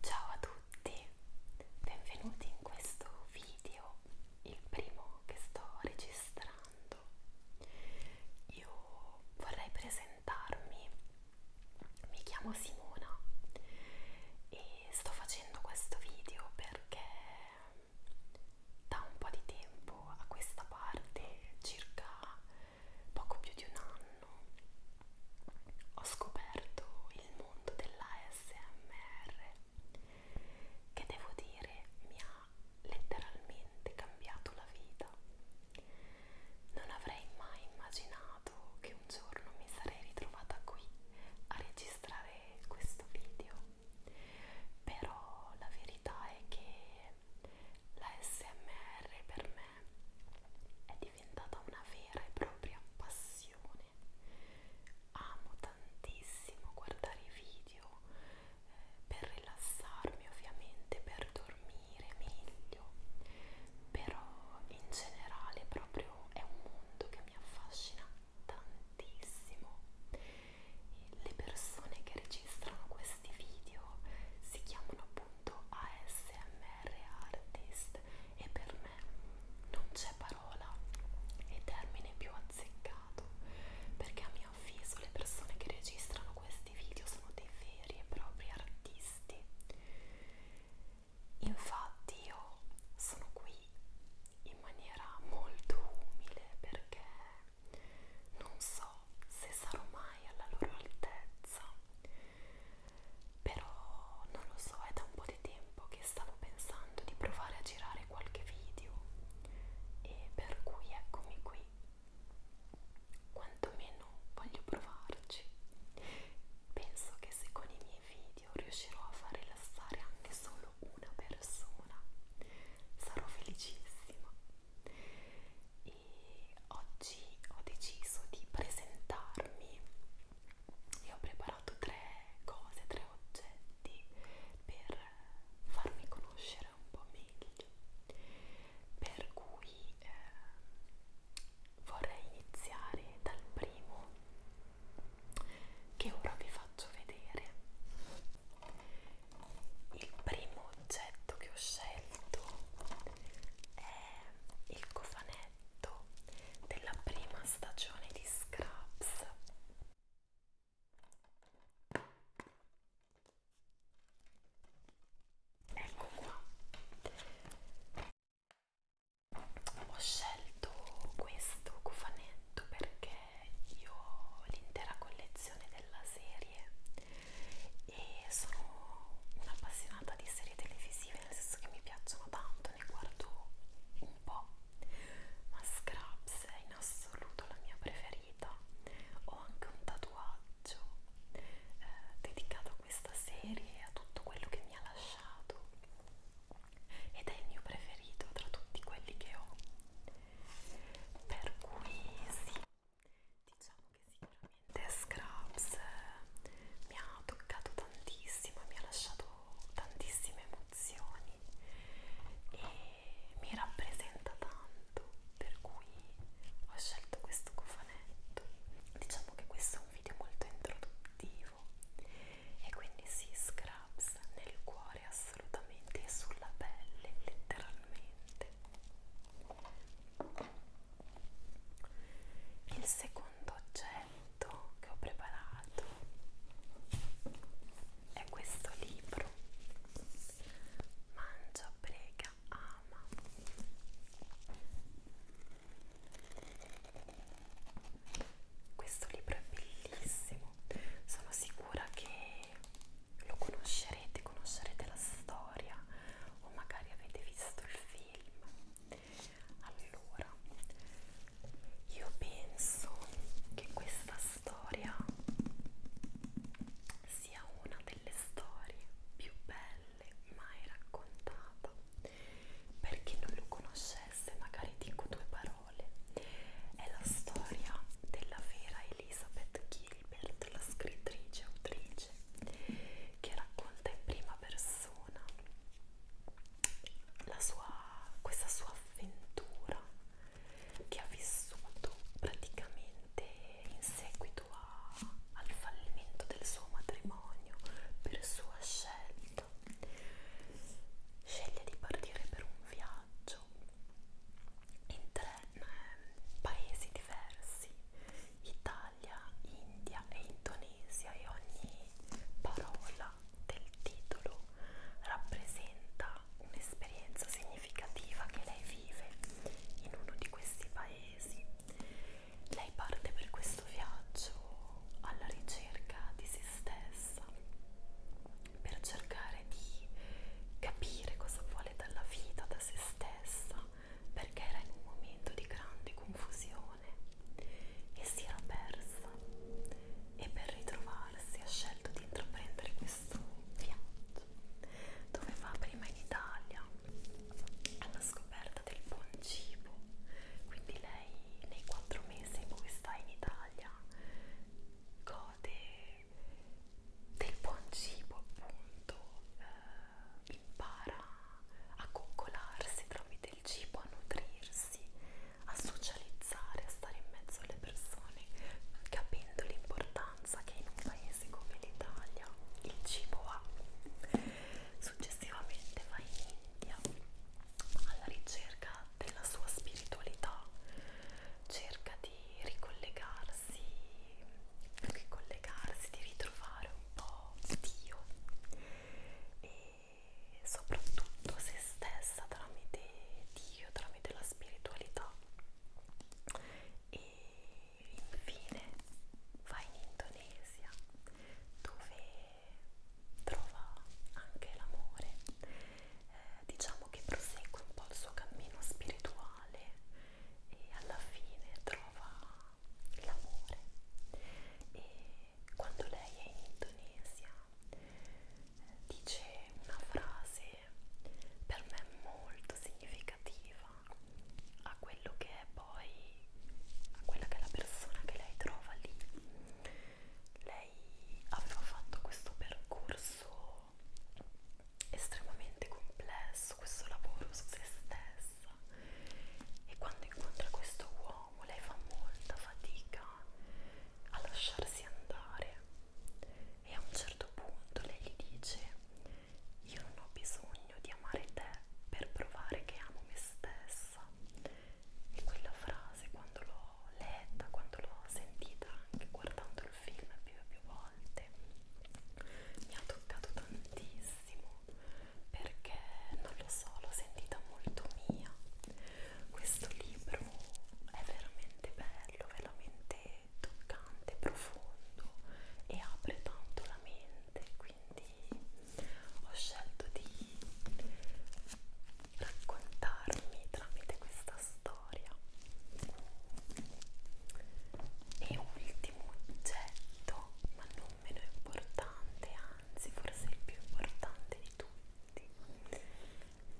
Ciao a tutti, benvenuti in questo video, il primo che sto registrando. Io vorrei presentarmi, mi chiamo Simona e sto facendo questo video perché da un po' di tempo a questa parte, circa poco più di un anno, anno ho scoperto il mondo dell'ASMR che devo dire mi ha letteralmente cambiato la vita. Non avrei mai immaginato che un giorno mi sarei ritrovata qui a registrare questo video, però la verità è che l'ASMR per me è diventata diventata una vera e propria passione. Amo tantissimo guardare i video eh, per rilassarmi, ovviamente, per dormire meglio, però in generale proprio è un mondo che mi affascina tantissimo. E le persone che registrano questi video si chiamano detto ASMR artist e per me non c'è parola e termine più azzeccato perché a mio avviso le persone che registrano questi video sono dei veri e propri artisti. Infatti io sono qui in maniera molto umile perché non so se sarò mai alla loro altezza però non lo so, è da un po' di tempo che stavo pensando di provare a girare qualche video e per cui eccomi qui quantomeno voglio provarci penso che se con i miei video riuscirò a far rilassare anche solo una persona sarò felicissima e oggi ho deciso di presentarmi e ho preparato tre cose, tre oggetti per farmi conoscere un po' meglio. Per cui eh, vorrei iniziare dal primo che ora vi faccio vedere. Il primo oggetto che ho scelto è il cofanetto della prima stagione di Scraps ecco qua ho scelto questo cofanetto perché io ho l'intera collezione della serie e sono un'appassionata di serie televisive nel senso che mi piacciono tanto, ne guardo un po', ma Scraps è in assoluto la mia preferita. Ho anche un tatuaggio eh, dedicato a questa serie e a tutto quello che mi ha lasciato ed è il mio preferito tra tutti quelli che ho. Per cui sì, diciamo che sicuramente Scrubs eh, mi ha toccato tantissimo mi ha lasciato tantissime emozioni e mi rappresenta tanto per cui ho scelto questo cofanetto diciamo che questo è un video molto introduttivo e quindi si sì, Scrubs nel cuore assolutamente e sulla pelle letteralmente il secondo oggetto che ho preparato è questo libro Mangia, prega, ama. Questo libro è bellissimo, sono sicura che lo conoscerete, conoscerete la storia storia o magari avete visto il film. Allora, io penso che questa storia sia una delle storie più belle mai raccontata. Per chi non lo conoscesse, magari dico due parole. È la storia della vera Elizabeth Gilbert, la scrittrice e autrice, che racconta in prima persona la sua, questa sua avventura che ha vissuto praticamente in seguito a, al fallimento del suo matrimonio per sua scelta. Sceglie di partire per un viaggio in tre eh, paesi diversi, Italia, India e Indonesia e ogni parola del titolo rappresenta un'esperienza significativa che lei vive in uno di questi paesi. Lei parte per questo viaggio alla ricerca di se stessa per cercare di capire cosa vuole dalla vita, da se stessa, perché era in un momento di grande confusione e si era persa e per ritrovarsi ha scelto di intraprendere questo viaggio dove va prima in Italia alla scoperta del buon cibo quindi lei nei quattro mesi in cui sta in Italia gode del buon cibo appunto eh, impara a coccolarsi tramite il cibo, a nutrirsi, a socializzare, a stare in mezzo alle persone, capendo l'importanza che in un paese come l'Italia il cibo ha. Successivamente va in India alla ricerca della sua spiritualità cerca di ricollegarsi, più che collegarsi, di ritrovare un po' Dio e soprattutto se stessa tramite Dio, tramite la spiritualità e infine va in Indonesia dove trova anche l'amore eh, diciamo che prosegue un po' il suo cammino spirituale e alla fine trova l'amore e quando lei è in Indonesia eh, dice una frase per me molto significativa a quello che è poi a quella che è la persona che lei trova lì lei aveva fatto questo percorso estremamente complesso questo lavoro su se stessa e quando incontra questo uomo lei fa molta fatica a lasciarsi andare e a un certo punto lei gli dice io non ho bisogno di amare te per provare che amo me stessa e quella frase quando l'ho l'ho letta, quando l'ho sentita anche guardando il film più e più volte mi ha toccato tantissimo perché non lo so, l'ho sentita molto mia questo libro è veramente bello, veramente toccante, profondo e apre tanto la mente quindi ho scelto di raccontarmi tramite questa storia. E ultimo oggetto, ma non meno importante, anzi forse il più importante di tutti,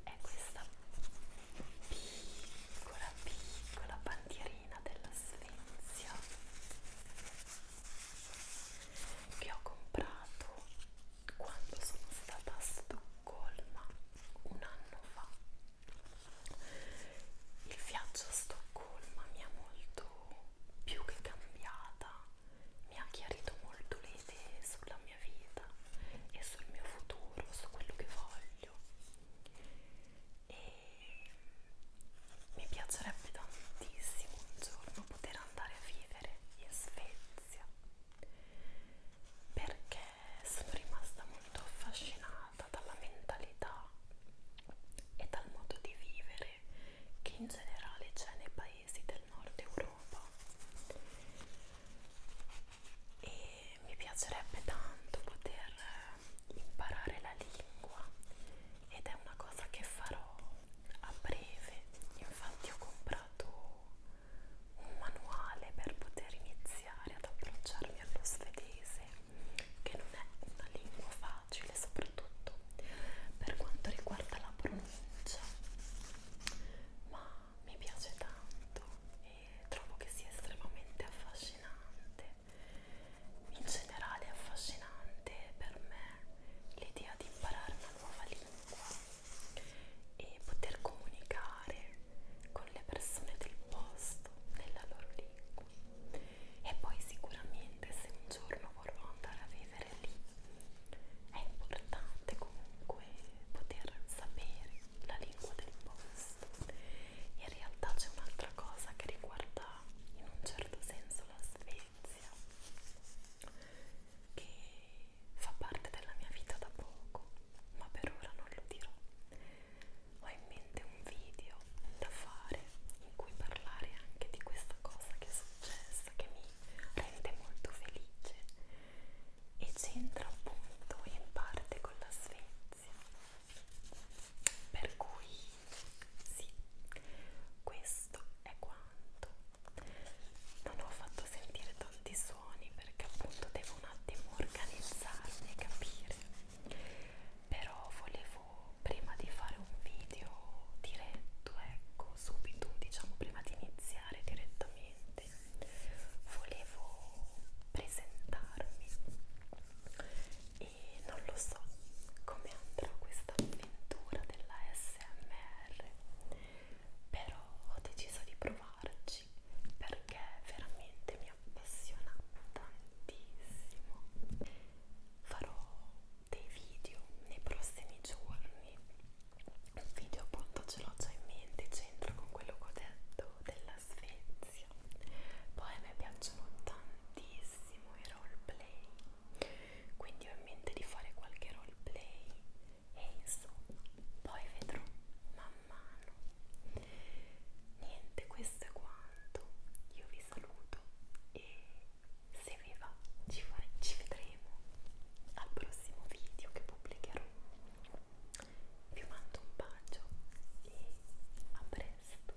è questa piccola piccola bandierina della Svezia che ho comprato quando sono stata a Stoccolma un anno fa il viaggio a Stoccolma mi ha molto più che cambiata mi ha chiarito molto le idee sulla mia vita e sul mio futuro, su quello che voglio e mi piacerebbe tantissimo un giorno poter andare a vivere in Svezia perché sono rimasta molto affascinata dalla mentalità e dal modo di vivere che in generale c'è nei paesi del nord Europa e mi piacerebbe tanto poter imparare la lingua ed è una cosa che farò a breve infatti ho comprato un manuale per poter iniziare ad approcciarmi allo svedese, che non è una lingua facile, soprattutto per quanto riguarda la pronuncia, ma mi piace tanto e trovo che sia estremamente affascinante. In generale è affascinante per me l'idea di imparare una nuova lingua e poter comunicare con le persone del posto nella loro lingua e poi sicuramente se un giorno vorrò andare a vivere lì è importante comunque poter sapere la lingua del posto in realtà c'è un'altra cosa che riguarda in un certo senso la Svezia notizia che fa parte della mia vita da poco, ma per ora non lo dirò. Ho in mente un video da fare in cui parlare anche di questa cosa che è successa, che mi rende molto felice e c'entra appunto in parte con la Svezia. Per cui sì, questo è quanto non ho fatto sentire tanti suoni perché appunto devo un attimo organizzarmi e capire però volevo prima di fare un video diretto ecco subito diciamo prima di iniziare direttamente volevo presentarmi e non lo so come andrà questa avventura della smr però ho deciso di provarci perché veramente mi appassiona tantissimo farò dei video nei prossimi giorni un video appunto ce l'ho già in mente c'entra con quello che ho detto della Svezia poi a me piacciono tantissimo i roleplay quindi ho in mente di fare qualche roleplay e insomma poi vedrò man mano niente questo è quanto io vi saluto e se vi va ci, fare, ci vedremo al prossimo video che pubblicherò vi mando un bacio e a presto